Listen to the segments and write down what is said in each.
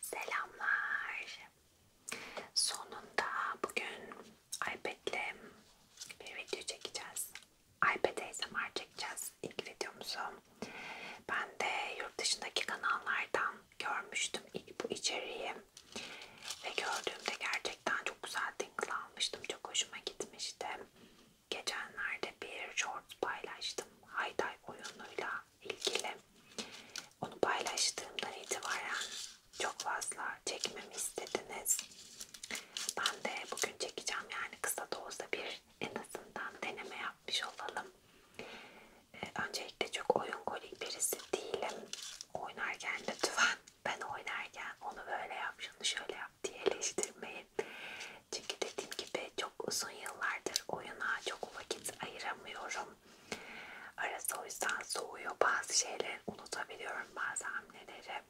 Selamlar. Sonunda bugün iPad'le bir video çekeceğiz. iPad ASMR çekeceğiz ilk videomuzu. Ben de yurt dışındaki kanallardan görmüştüm ilk bu içeriği. Ve gördüğümde gerçekten çok güzel tingla almıştım. Çok hoşuma gitmişti. Geçenlerde bir short paylaştım. Hayday oyunuyla ilgili onu paylaştığımdan itibaren çok fazla çekmemi istediniz. Ben de bugün çekeceğim yani kısa da olsa bir en azından deneme yapmış olalım. Ee, öncelikle çok oyun kolik birisi değilim. Oynarken lütfen ben oynarken onu böyle yap, şunu şöyle yap diye eleştirmeyin. Çünkü dediğim gibi çok uzun yıllardır oyuna çok vakit ayıramıyorum. Arası o yüzden soğuyor. Bazı şeyleri unutabiliyorum bazı hamleleri.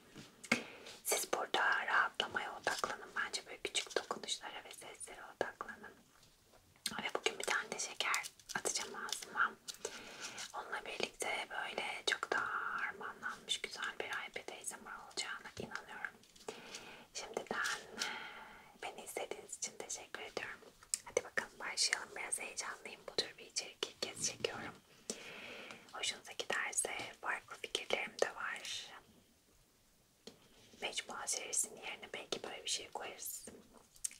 Siz burada rahatlamaya odaklanın. Bence böyle küçük dokunuşlara ve seslere odaklanın. Ve bugün bir tane de şeker atacağım ağzıma. Onunla birlikte böyle çok daha harmanlanmış güzel bir iPad ASMR olacağına inanıyorum. Şimdiden e, beni izlediğiniz için teşekkür ediyorum. Hadi bakalım başlayalım. Biraz heyecanlıyım. Bu tür bir içerik ilk kez çekiyorum. Hoşunuza giderse farklı fikirlerim de var. Mecmua serisinin yerine belki böyle bir şey koyarız.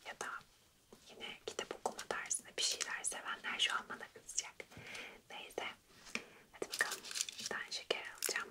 Ya da yine kitap okuma dersinde bir şeyler sevenler şu an bana kızacak. Neyse. Hadi bakalım. Bir tane şeker alacağım.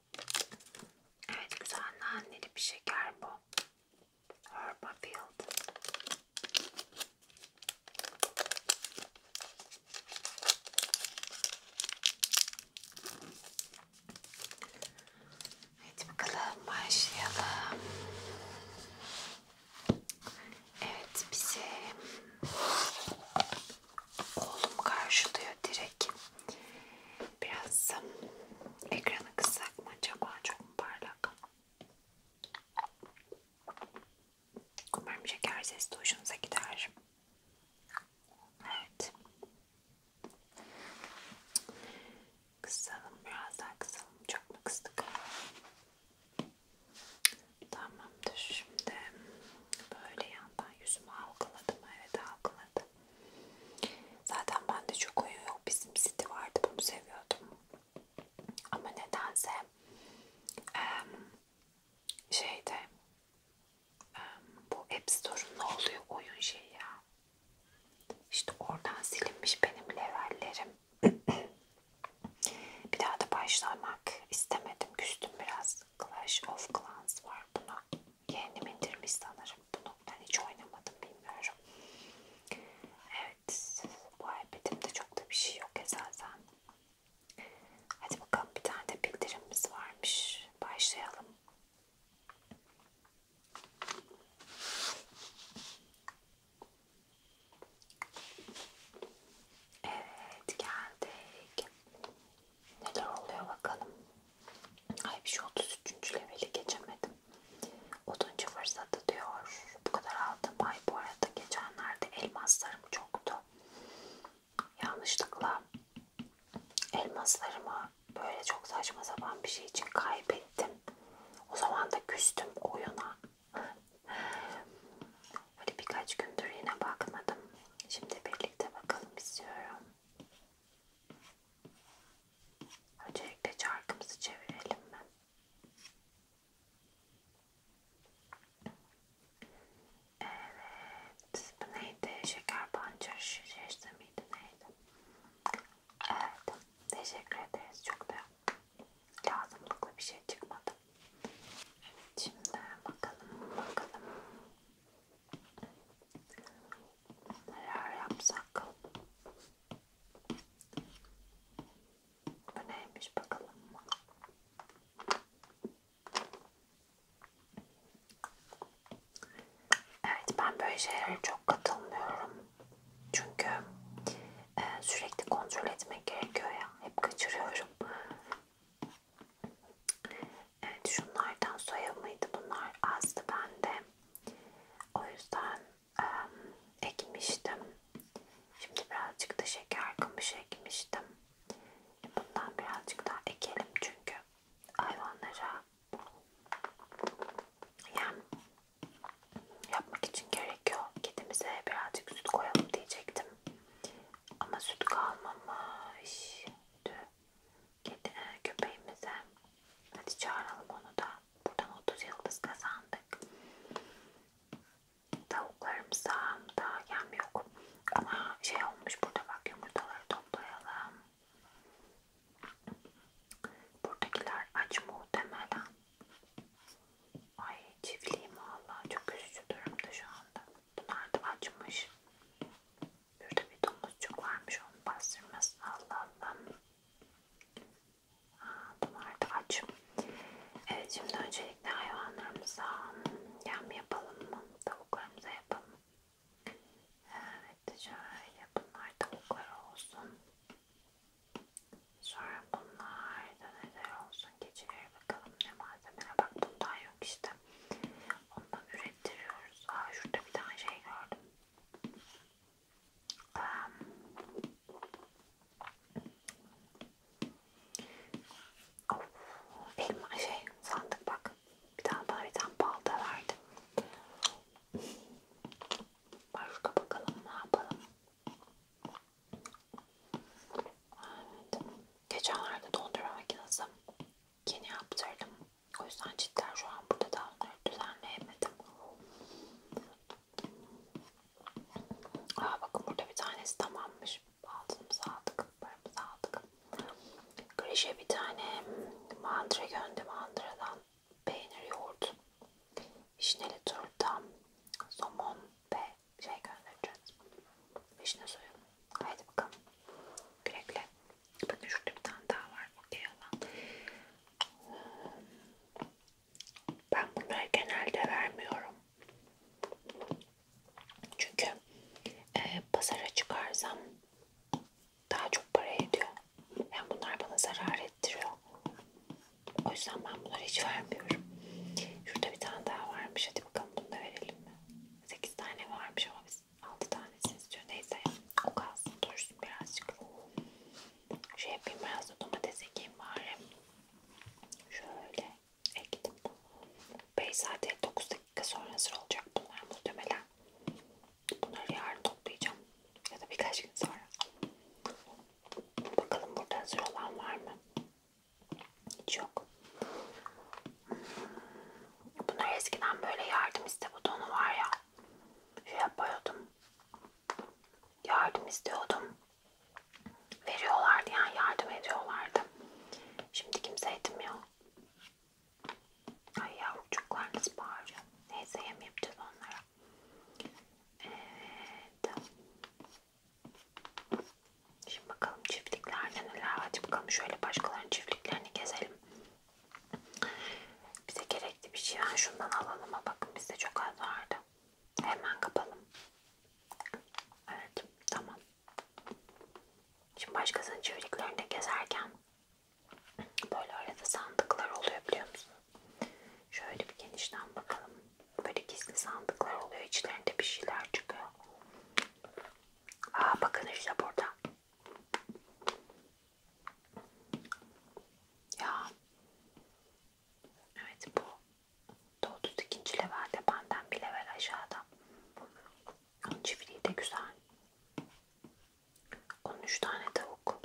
Evet güzel naneli bir şeker bu. Herbafield. Evet bakalım başlayalım. Evet bize oğlum karşılıyor direkt. Biraz ıı, ekranı kıssak mı acaba? Çok mu parlak? Umarım şeker sesi de hoşunuza gider. Evet. Kısalım. Biraz daha kısalım. Çok mu kıstık? Tamamdır. Şimdi Böyle yandan yüzümü halkaladım. Evet halkaladım. Zaten bende çok uyu yok. Bizim City vardı. Bunu seviyordum. Ama nedense şeyde bu App Store'un ne oluyor oyun şeyi ya. İşte oradan silinmiş benim levellerim. bir daha da başlamak istemedim. Küstüm biraz. Clash of Clans var buna yeğenim indirmiş sanırım bunu. Ben hiç oynamadım bilmiyorum. Evet bu iPad'imde çok da bir şey yok esasen. Hadi bakalım bir tane de bildirimimiz varmış. Başlayalım. Evet geldik. Neler oluyor bakalım. Ay bir şey 33. leveli geçemedim. 30. fırsatta diyor. Bu kadar aldım. Ay bu arada geçenlerde elmaslarım çoktu. Yanlışlıkla elmaslarımı böyle çok saçma sapan bir şey için kaybettim. O zaman da küstüm oyuna. Böyle birkaç gündür yine bakmadım. Şimdi birlikte bakalım istiyorum. Öncelikle çarkımızı çevirelim mi? Evet, bu neydi? Şeker pancarı şişesi miydi neydi? Evet, teşekkür ederiz. Çok da lazımlıklı bir şey çıkmadı. Evet, şimdi bakalım, bakalım. Neler yapsak? Bu neymiş bakalım. Evet ben böyle şeylere çok katılmıyorum. Çünkü e, sürekli kontrol etmek gerekiyor ya. Hep kaçırıyorum. Evet şunlardan soya mıydı bunlar azdı bende. O yüzden ıı, ekmiştim. Şimdi birazcık da şeker kamışı ekmiştim. Bundan birazcık daha ekelim çünkü hayvanlara yem yapmak için gerekiyor. Kedimize birazcık süt koyalım diyecektim. Ama süt kalmamış kedi, e, köpeğimize. Hadi çağıralım onu da. Buradan 30 yıldız kazandık. Tavuklarımıza daha yem yok. Ama şey olmuş burada bak yumurtaları toplayalım. Buradakiler aç muhtemelen. Ay çiftliğim valla çok üzücü durumda şu anda. Bunlar da açmış. Burada bir domuzcuk varmış onu bastırmasın Allah Allah. Aa, bunlar da aç. Evet şimdi öncelikle hayvanlarımıza yem yapalım mı? Tavuklarımıza yapalım. Evet şöyle bunlar tavuklar olsun. Sonra bunlar da neler olsun? Geçiver bakalım ne malzemeler. Bak bundan yok işte. Ondan üretelim ettiriyoruz. Aa, şurada bir tane şey gördüm. Um, of, elma şey sandık bak. Bir tane bana bir tane balta verdi. Başka bakalım ne yapalım. Evet. Geçenlerde dondurma makinesi yeni yaptırdım. O yüzden cidden şu an burada da onları düzenleyemedim. Aa, bakın burada bir tanesi tamammış. Altımızı aldık, paramızı aldık. Grişe bir tane mandıra göndü mandıradan peynir, yoğurt, vişneli turta, somon ve şey göndereceğiz. Vişne suyu. Haydi bakalım. Güle güle. Bakın şurada bir tane daha var. Okey olan. Ben bunları genelde vermiyorum. Çünkü e, pazara çıkarsam daha çok para ediyor. Yani bunlar bana zarar ettiriyor. O yüzden ben bunları hiç vermiyorum. Şurada bir tane daha varmış. Hadi bakalım bunu da verelim mi? 8 tane varmış ama biz tanesi, 6 tanesini istiyor. Neyse o kalsın dursun birazcık. Şey yapayım biraz da domates ekeyim bari. Şöyle ektim. Beyzade 9 dakika sonra hazır olacak bunlar muhtemelen. Bunları yarın toplayacağım. Ya da birkaç gün sonra. Bakalım burada hazır olan var mı? Hiç yok. Bunlar eskiden böyle yardım iste butonu var ya. Şey yapıyordum. Yardım istiyordum. Veriyorlardı yani yardım ediyorlardı. Şimdi kimse etmiyor. Ay yavrucuklar nasıl bağırıyor. Neyse yem yapacağız onlara. Evet. Şimdi bakalım çiftliklerde neler var. Hadi bakalım şöyle başkalarının çiftliklerini gezelim. Bize gerekli bir şey. Ben şundan alalım. Bakın bizde çok az vardı. Hemen kapalım. Evet. Tamam. Şimdi başkasının çevriklerinde gezerken böyle arada sandıklar oluyor biliyor musun? Şöyle bir genişten bakalım. Böyle gizli sandıklar oluyor. İçlerinde bir şeyler çıkıyor. Aa bakın işte burada. Ya. Evet bu. 32. levelde benden bir level aşağıda. Onun çiftliği de güzel. 13 tane tavuk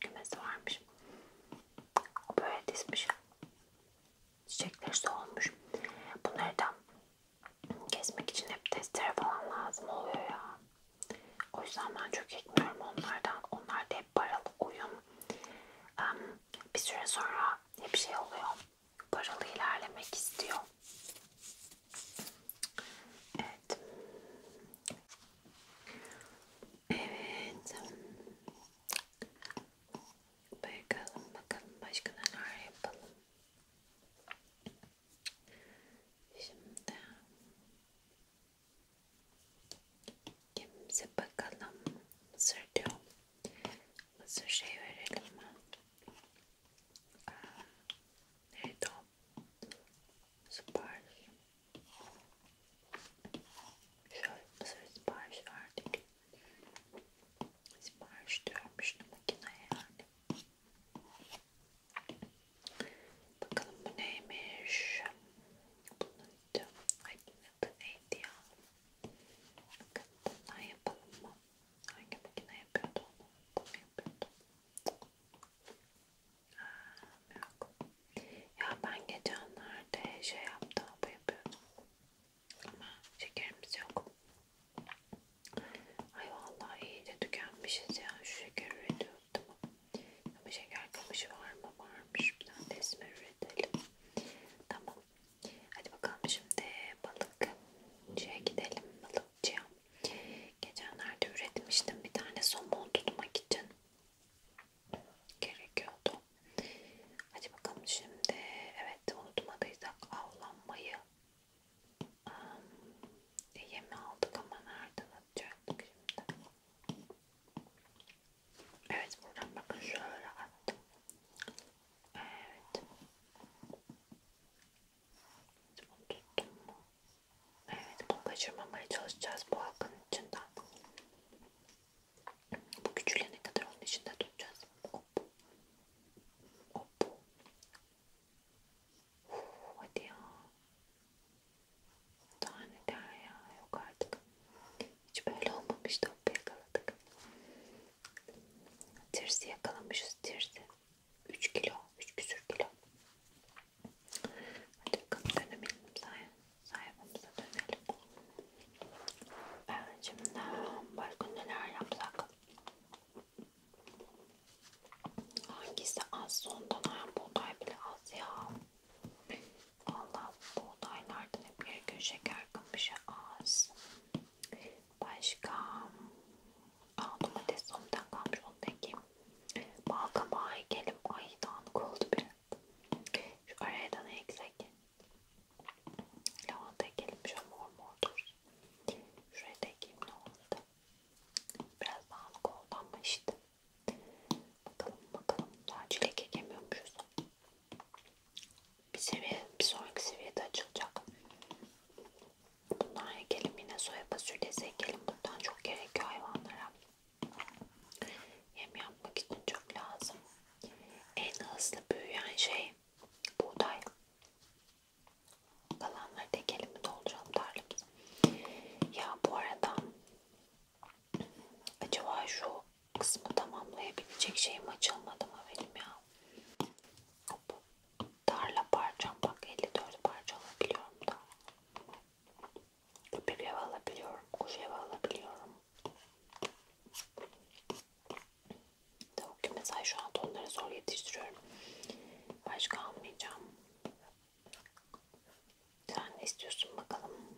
kümesi varmış. O böyle dizmiş. Çiçekler solmuş. Bunları da kesmek için hep testere falan lazım oluyor ya. O yüzden ben çok ekmiyorum onlardan. Onlar da hep paralı uyum. Um, bir süre sonra hep şey oluyor. Paralı ilerlemek istiyor. Evet. Evet. Bakalım bakalım başka neler yapalım. Şimdi kimse bakalım mısır diyor. şey verelim mi? Aa, neydi o? Süper. Şöyle mısır sipariş verdik. Sipariş diyormuş makineye yani. Bakalım bu neymiş? Bunun adı, ay bunun adı neydi ya? Bakın bundan yapalım mı? Hangi makine yapıyordu onu? Bunu yapıyordu. Aa, yok. Ya ben geçenlerde şey yaptım, bu yapıyordum. Ama şekerimiz yok. Ay vallahi iyi de tükenmişiz ya. Şu şeker üretiyordum ama şeker kamışı var mı? Varmış. Bir tane tesme üretelim. Tamam. Hadi bakalım şimdi balıkçıya gidelim. Balıkçıya. Geçenlerde üretmiştim bir tane somon tutmak için. Gerekiyordu. Hadi bakalım şimdi. Evet unutmadıysak avlanmayı um, e, yemi aldık ama nereden atacaktık şimdi? Evet buradan bakın şöyle attım. Evet. Bunu tuttum mu? Evet bunu kaçırmamaya çalışacağız bu halkın içinden. Bu küçülene kadar onun içinde tutacağız. Hop. Hop. Uf, hadi ya. Daha neler ya. Yok artık. Hiç böyle olmamıştı. Hop yakaladık. Tirsi yakalamışız. Tirsi. 3 kilo. 3 küsür kilo. Hadi bakalım dönelim. Sayfamıza dönelim. Ben şimdi başka neler yapsak? Hangisi az sondan ha buğday bile az ya. Allah buğdaylardan hep bir gün şeker kamışı az. Başka Aa, domates somdan kalmış onu peki. Balkabağı ekelim. Ay dağınık oldu biraz. Şu araya da ne eksik? Lavanta ekelim. Şöyle mor mor dursun. Şuraya da ekeyim ne oldu? Biraz dağınık oldu ama işte. Bakalım bakalım. Daha çilek ekemiyormuşuz. Bir seviye, bir sonraki seviyede açılacak. Bundan ekelim yine soya fasulyesi ekelim. Bundan çok gerekiyor hayvanlara. Yem yapmak için çok lazım. En hızlı büyüyen şey buğday. Kalanları tekelimi dolduralım tarlamıza. Ya bu arada acaba şu kısmı tamamlayabilecek şeyim açılmadı mı benim ya? Hop. Tarla parçam bak 54 parça alabiliyorum da. Köpek ev alabiliyorum, kuş ev alabiliyorum. Tavuk mesela şu an onları zor yetiştiriyorum. Başka almayacağım. Sen ne istiyorsun bakalım?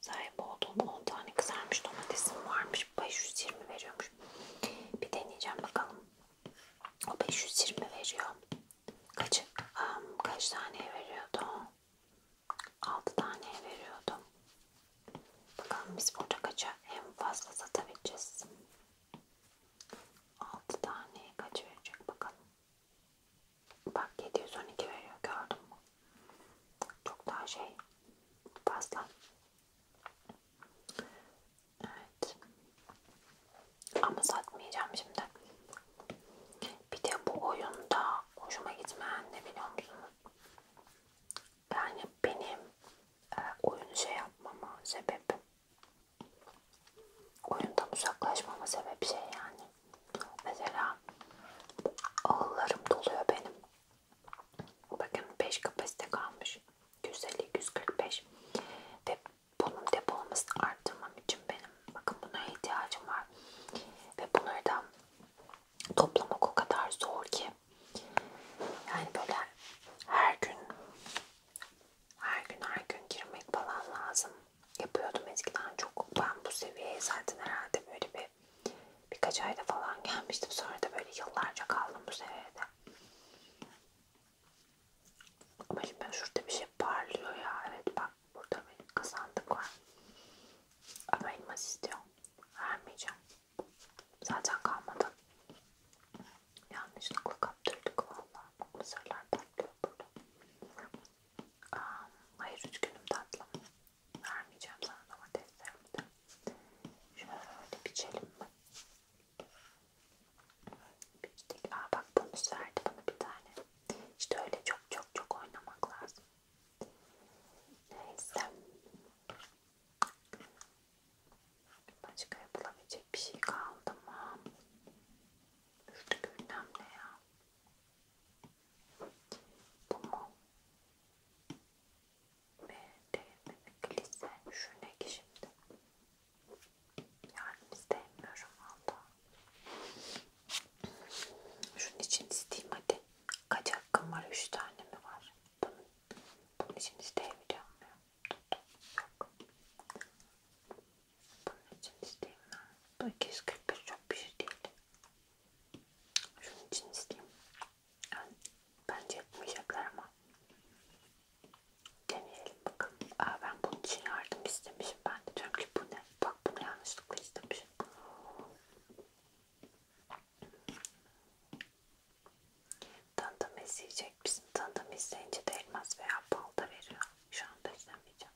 Sahip olduğum 10 tane kızarmış domatesim varmış. 520 veriyormuş. Bir deneyeceğim bakalım. O 520 veriyor. Kaç, um, kaç tane veriyordu? 6 tane veriyordu. Bakalım biz burada kaça en fazla satabileceğiz. 6 tane kaç verecek bakalım. Bak 712 veriyor gördün mü? Çok daha şey fazla. Evet. Ama satmayacağım şimdi. Bir de bu oyunda hoşuma gitmeyen ne biliyor musunuz? Yani benim e, oyunu şey yapmama sebep Oyundan uzaklaşmama sebep şey yani. Mesela ağlarım doluyor benim. Bakın 5 kapasite kalmış. 150 145. Ve bunun depolamasını arttırmam için benim bakın buna ihtiyacım var. Ve bunları da toplamak o kadar zor ki. Yani böyle her gün her gün her gün girmek falan lazım. Yapıyordum eskiden çok. Ben bu seviyeye zaten herhalde böyle bir birkaç ayda falan gelmiştim. Sonra da böyle yıllarca kaldım bu seviyede. Ama şimdi şurada bir şey parlıyor ya. Evet bak burada benim kazandık var. Ama elmas istiyor. Vermeyeceğim. Zaten kalmadı. Yanlışlıkla kaptırdık valla. Mısırlar patlıyor burada. Aa, hayır üç günüm tatlım. Vermeyeceğim sana domateslerimi de. Şöyle biçelim mi? Biçtik. Aa bak bonus verdi bana bir tane. İşte öyle çok çok çok oynamak lazım. Neyse. Başka yapılabilecek bir şey kaldı mı? Üstü gündem ne ya? Bu mu? Ve değil mi? Kilise şu ne ki şimdi? Yani istemiyorum valla. Şunun için isteyeyim hadi. Kaç hakkım var? Üç tane mi var? Bunun, bunun için isteyebiliyor muyum? Bunun için isteyeyim ben. Bu 245 çok bir şey değil. Şunun için isteyeyim. Yani bence yapmayacaklar ama. Deneyelim bakalım. Aa, ben bunun için yardım istemişim. Ben de diyorum ki bu ne? Bak bunu yanlışlıkla istemişim. Tanıdım izleyecek bizim tanıdım izleyince de elmas veya balda veriyor. Şu anda izlemeyeceğim.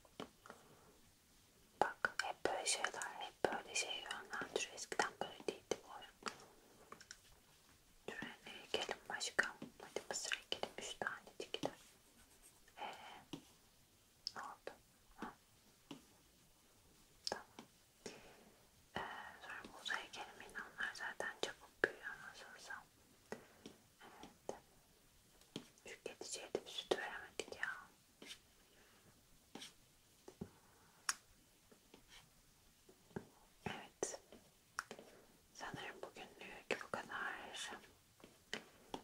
Bak hep böyle şeyler, hep böyle şey yönlendiriyor. Eskiden böyle değildi bu oyun. Şuraya gelin başka. Hadi mısır ekelim. Üç tane çekilir. Eee ne oldu? Ha. Tamam. Ee, sonra muz heykelimi onlar zaten çabuk büyüyor nasılsa. Tüketiciye de bir süt veremedik ya. Evet. Sanırım bugünlük bu kadar.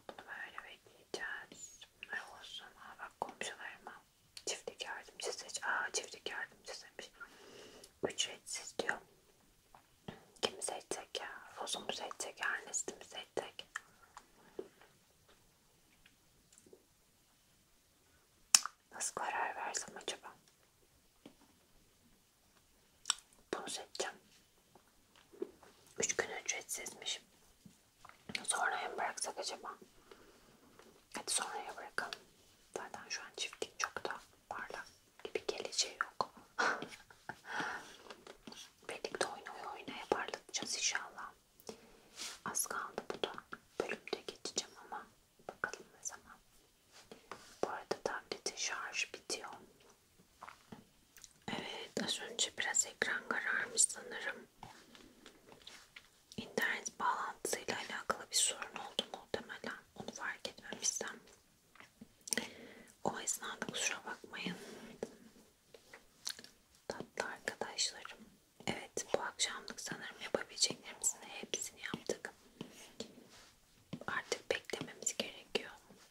Bunu böyle bekleyeceğiz. Bunlar olsun. Aa, bak komşularıma çiftlik yardımcısı. Aa çiftlik yardımcısıymış. Ücretsiz diyor. Kim seçecek ya? Rozu mu seçecek? Ernest'i mi seçecek? Nasıl karar versem acaba? Bunu seçeceğim. Üç gün ücretsizmiş. Sonraya mı bıraksak acaba? Hadi sonraya bırakalım. Zaten şu an çiftlik çok da parlak gibi geleceği yok. Birlikte oynaya oynaya parlatacağız inşallah. Az kaldı bu da. Bölümde geçeceğim ama bakalım ne zaman. Bu arada tabletin şarjı bitiyor. Evet az önce biraz ekran kararmış sanırım. İnternet bağlantısıyla alakalı bir sorun oldu muhtemelen. Onu fark etmemişsem o esnada kusura bakmayın. Tatlı arkadaşlarım. Evet bu akşamlık sanırım yapabileceklerimizin hepsini yaptık. Artık beklememiz gerekiyor.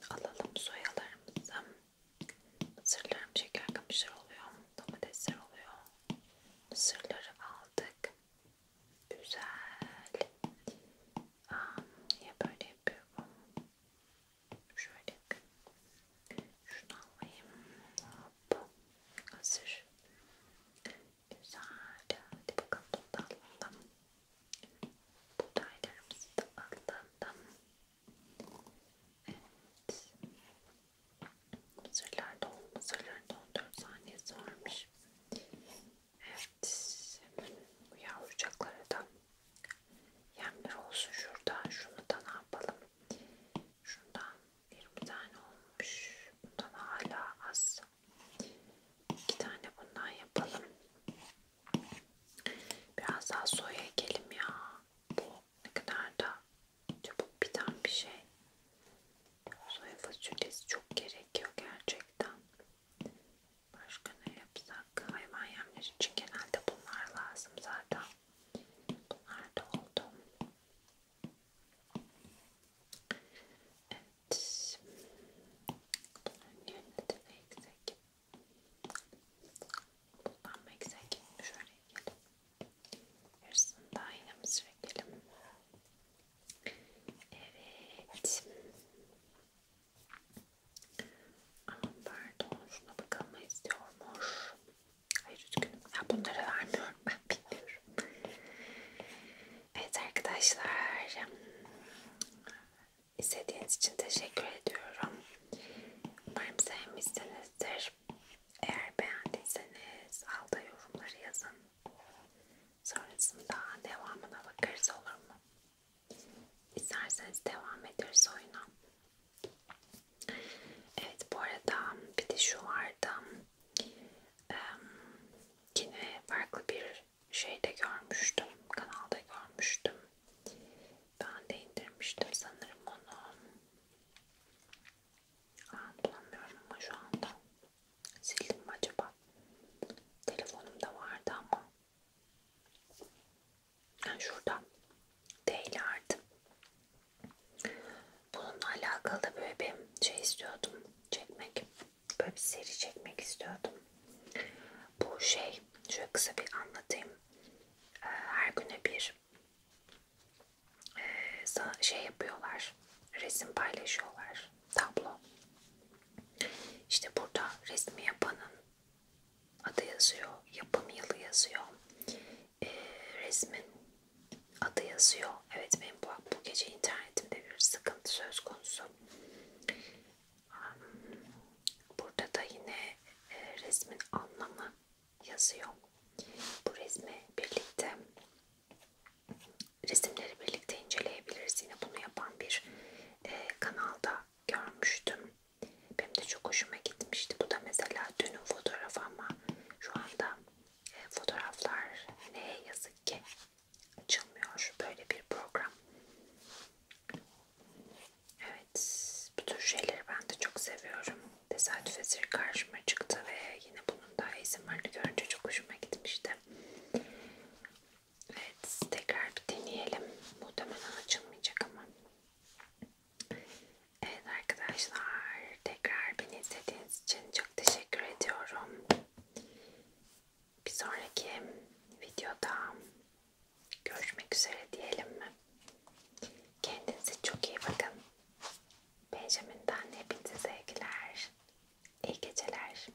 Alalım soyalarımızı. Mısırlarım şeker kamışlar oluyor. Domatesler oluyor. Mısırları aldık. Güzel. Aa, niye böyle yapıyorum? Şöyle şunu alayım. Hop. Hazır. Güzel. Hadi bakalım toplanalım. Buğdaylarımızı da alalım. Evet. Mısırlar da 14 saniye sormuş. Evet. Hemen yavrucaklara da yemler olsun şurada. Şunu da ne yapalım? Şundan bir tane olmuş. Bundan hala az. İki tane bundan yapalım. Biraz daha soya ekelim ya. Bu ne kadar da çabuk biten bir şey. Soya fasulyesi çok gerekiyor gerçekten. Başka ne yapsak? Hayvan yemleri için genelde bunlar lazım zaten. Bunlar da oldu. Evet. Bunların yerine de eksik. Bundan eksik. Şöyle yiyelim. Yarısını daha yine mısır ekelim. Evet. Aman pardon şuna bakalım istiyormuş. Hayır üzgünüm. Ya bunları vermiyorum ben biliyorum. Evet arkadaşlar. İzlediğiniz için teşekkür ediyorum. Umarım sevmişsinizdir. Eğer beğendiyseniz alta yorumları yazın. Sonrasında devamına bakarız olur mu? İsterseniz devam ederiz oyuna. Evet bu arada bir de şu vardı. Ee, yine farklı bir şeyde görmüştüm. Kanalda görmüştüm. Ben de indirmiştim sanırım onu. Aa, bulamıyorum ama şu anda. Sildim mi acaba? Telefonumda vardı ama yani şuradan değil artık. Bununla alakalı da böyle bir şey istiyordum çekmek. Böyle bir seri çekmek istiyordum. Bu şey şöyle kısa bir anlatayım. Ee, her güne bir e, şey yapıyorlar. Resim paylaşıyorlar. Tablo. İşte burada resmi yapanın adı yazıyor, yapım yılı yazıyor, e, resmin adı yazıyor. Evet benim bu, bu gece internetimde bir sıkıntı söz konusu. Burada da yine e, resmin anlamı yazıyor. Bu resmi birlikte resimleri birlikte inceleyebiliriz. Yine bunu yapan bir e, kanalda görmüştüm. Benim de çok hoşuma gitmişti. Bu da mesela dünün fotoğrafı ama şu anda e, fotoğraflar ne yazık ki açılmıyor böyle bir program. Evet, bu tür şeyleri ben de çok seviyorum. Tesadüf eseri karşıma çıktı ve yine bunun da izin görünce çok hoşuma gitmişti. Evet tekrar bir deneyelim. Muhtemelen açılmayacak ama. Evet arkadaşlar tekrar beni izlediğiniz için çok teşekkür ediyorum. Bir sonraki videoda görüşmek üzere diyelim mi? Kendinize çok iyi bakın. Benjamin'den hepinize sevgiler. İyi geceler.